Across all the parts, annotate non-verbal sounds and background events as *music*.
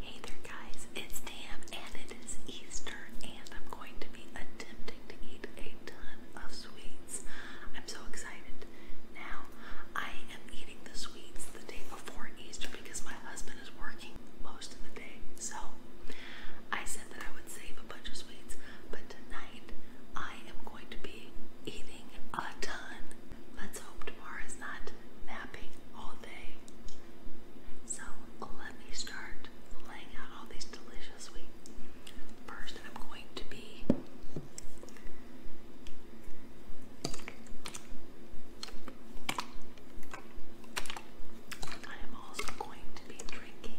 Hey there guys, it's Tam and it is Easter and I'm going to be attempting to eat a ton of sweets. I'm so excited. Now, I am eating the sweets the day before Easter because my husband is working most of the day. So, I said that I would save a bunch of sweets, but tonight I am going to be eating a ton. Let's hope tomorrow is not napping all day. So let me start laying out all these delicious sweets. First, I'm going to be I am also going to be drinking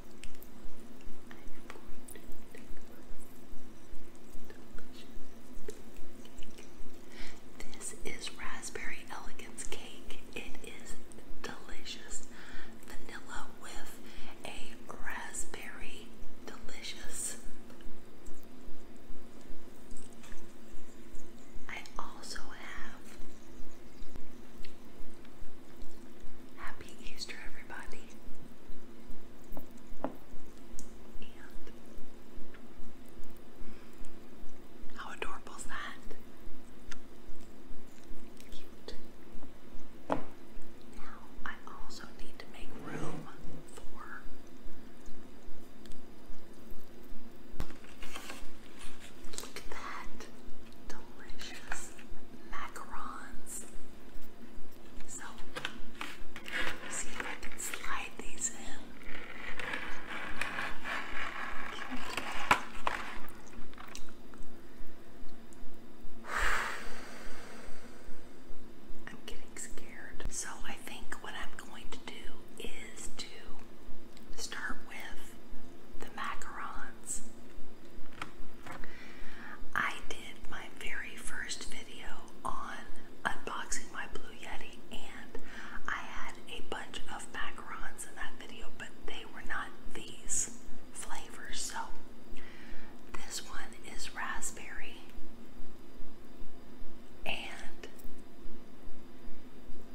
This is raspberry elegance cake. It is delicious. Vanilla with a raspberry delicious. I also have Happy Easter, everybody. how adorable is that? Cute. Now, I also need to make room for Look at that. Delicious macarons. So, see if I can slide these in. I'm getting scared. So, I think what I'm going to do is to Start with the macarons. I did my very first video on unboxing my Blue Yeti, and I had a bunch of macarons in that video, but they were not these flavors. So this one is raspberry and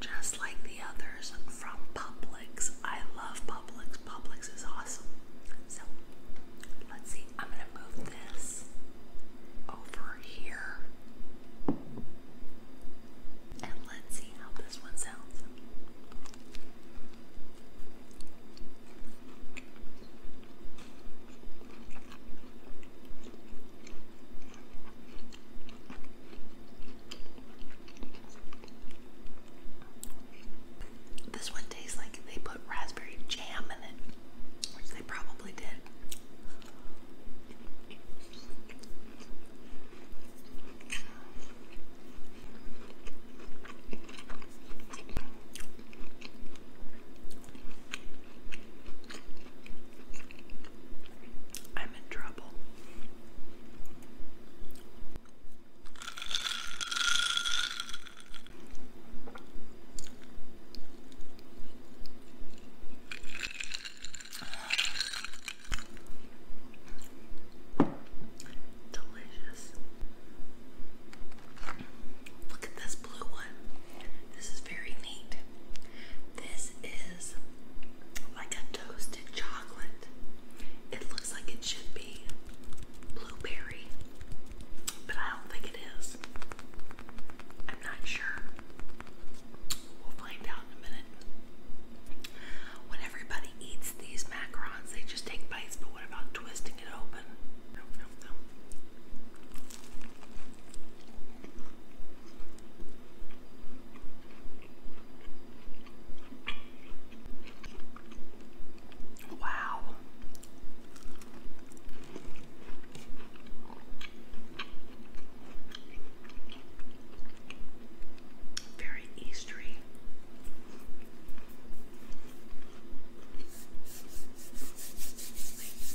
just like the others from Publix. I love Publix. Publix is awesome. So let's see. I'm gonna move this over here. And let's see how this one sounds. This one tastes like they put raspberry jam in it, which they probably did. I'm in trouble apple. Delicious. Look at this blue one. This is very neat. This is like a toasted chocolate. It looks like it should be blueberry, but I don't think it is. I'm not sure. We'll find out in a minute. When everybody eats these macarons, they just take bites, but what about twisting it open? Wow. Very Eastery. I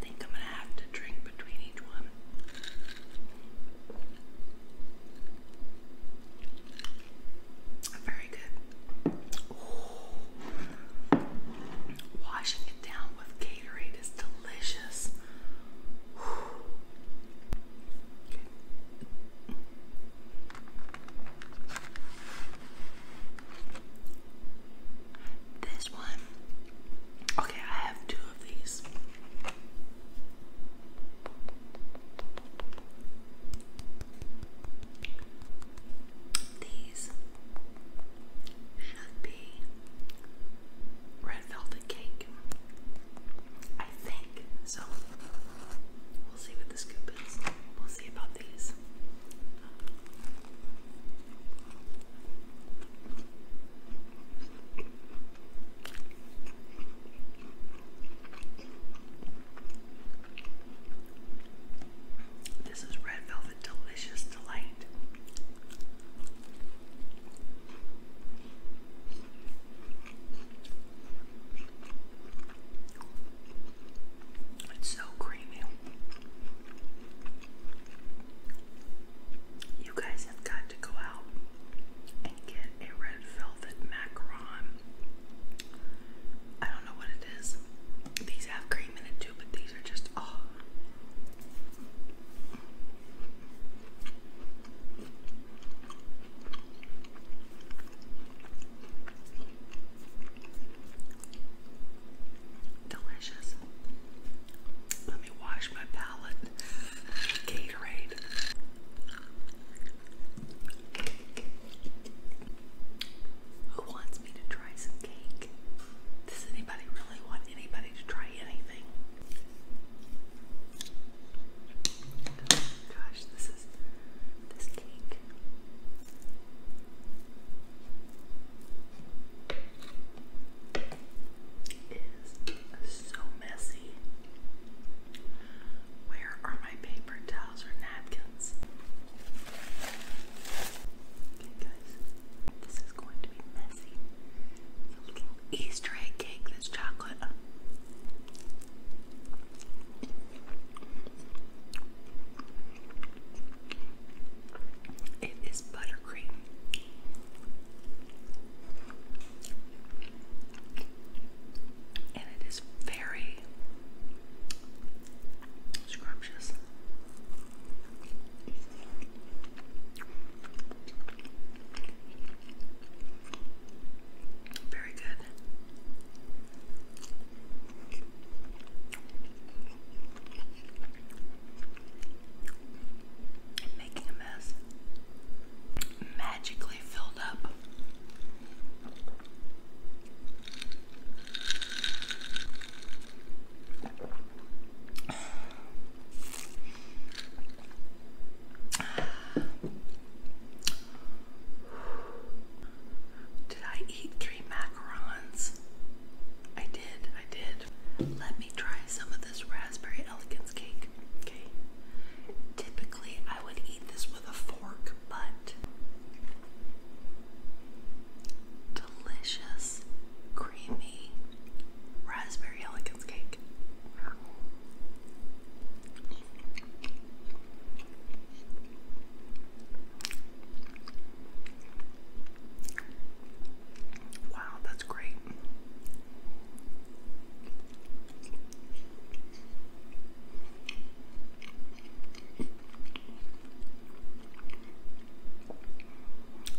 think I'm going to have to drink between each one. Very good. Washing it down with Gatorade is delicious. This one. Okay, I have two of these. These should be red velvet cake. I think. So we'll see what the scoop is. We'll see about these. This is Red Velvet Delicious Delight. It's so creamy. You guys have got to go out and get a red velvet macaron. I don't know what it is. These have cream in it too, but these are just oh. Delicious. Let me wash my palate. Gatorade. Who wants me to try some cake? Does anybody really want anybody to try anything? Gosh, this is this cake. Is so messy. Where are my paper towels or napkins? Okay, guys, this is going to be messy. Easter egg cake This chocolate. It is buttercream. And it is very scrumptious. Very good. Making a mess. Magically filled up. Did I eat three macarons? I did, I did. Let me try some of this raspberry elegance cake. Okay. Typically, I would eat this with a fork, but delicious, creamy raspberry elegance cake. Wow, that's great.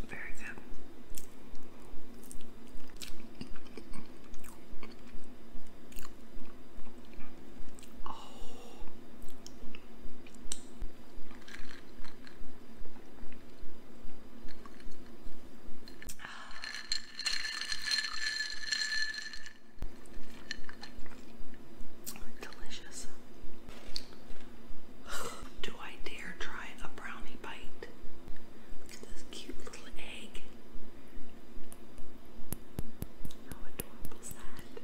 Very good. Oh. *sighs* Delicious. *sighs* Do do I dare try a brownie bite? Look at this cute little egg. How adorable is that?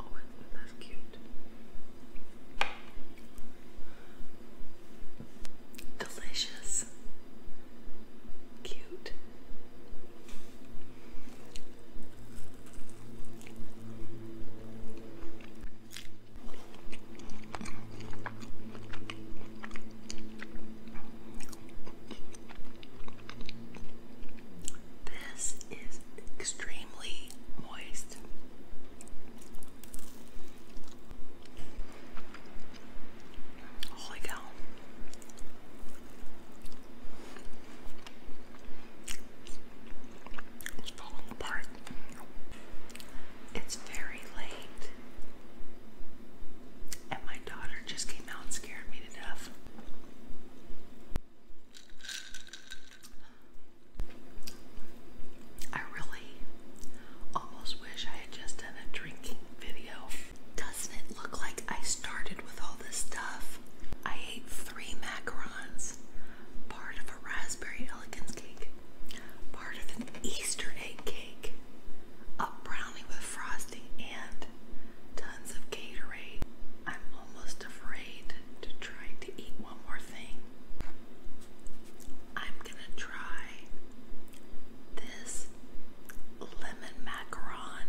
Oh, isn't that cute? Delicious. Cute. This is extremely moist. Holy cow. It's falling apart. It's very late. And my daughter just came out and scared me to death. I really almost wish I had just done a drinking video. Doesn't it look like I started with all this stuff I ate three macarons, part of a raspberry elegance cake, part of an Easter egg cake, a brownie with frosting, and tons of Gatorade. I'm almost afraid to try to eat one more thing. I'm gonna try this lemon macaron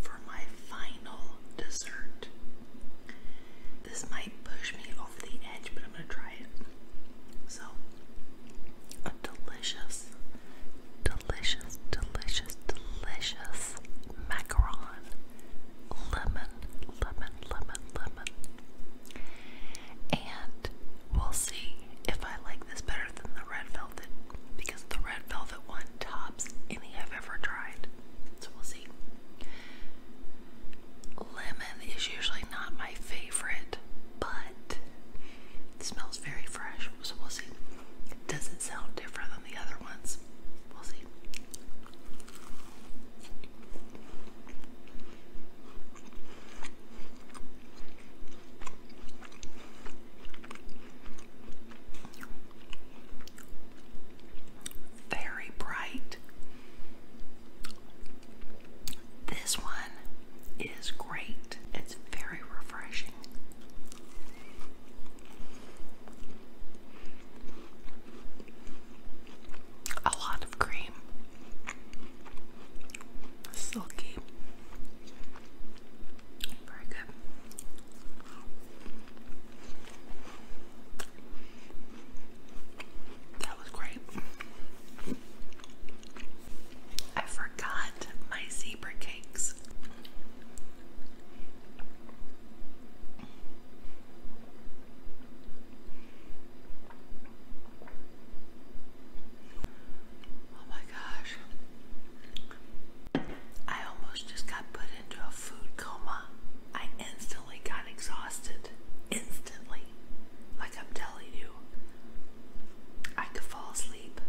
for my final dessert. This might push me off the edge, but I'm gonna try it. So, a delicious, delicious, delicious, delicious macaron. Lemon, lemon, lemon, lemon. And we'll see if I like this better than the red velvet because the red velvet one any I've ever tried. So we'll see. Lemon is usually not my favorite, but it smells very fresh. So we'll see. It doesn't sound different than the other ones. We'll see. Very bright. This one is great. It's very refreshing. A lot of cream. Silky. Very good. That was great. I forgot my zebra cakes. Oh my gosh. I almost just got put into a food coma. I instantly got exhausted. Instantly. Like I'm telling you. I could fall asleep.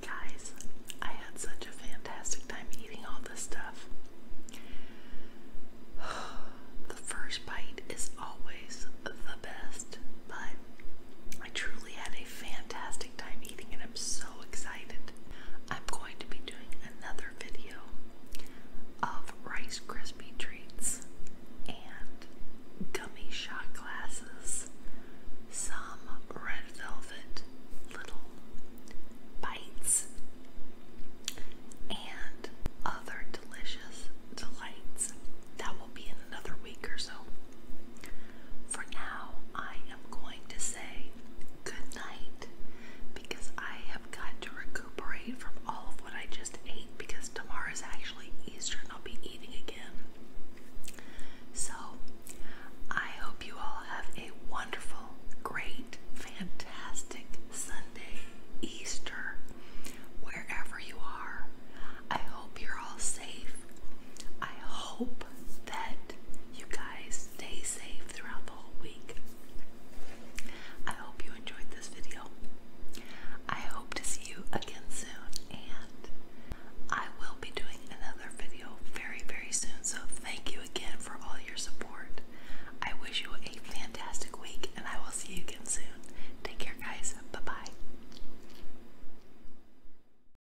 Guys, I had such a fantastic time eating all this stuff. *sighs* the first bite is always the best, but I truly had fantastic time eating and I'm so excited. I'm going to be doing another video of Rice Krispie treats and gummy shot glasses, some red velvet little bites, and other delicious delights. That will be in another week or so. For now, I am going to say good night because I have got to recuperate from all of what I just ate because tomorrow is actually Easter and I'll be eating again. So, I hope you all have a wonderful, great, fantastic Sunday, Easter, wherever you are. I hope you're all safe. I hope that you guys stay safe throughout the whole week. I hope you enjoyed this video. I hope to see you again soon, and I will be doing another video very, very soon. So, thank you again for all your support. I wish you a fantastic week, and I will see you again soon. Take care, guys. Bye bye.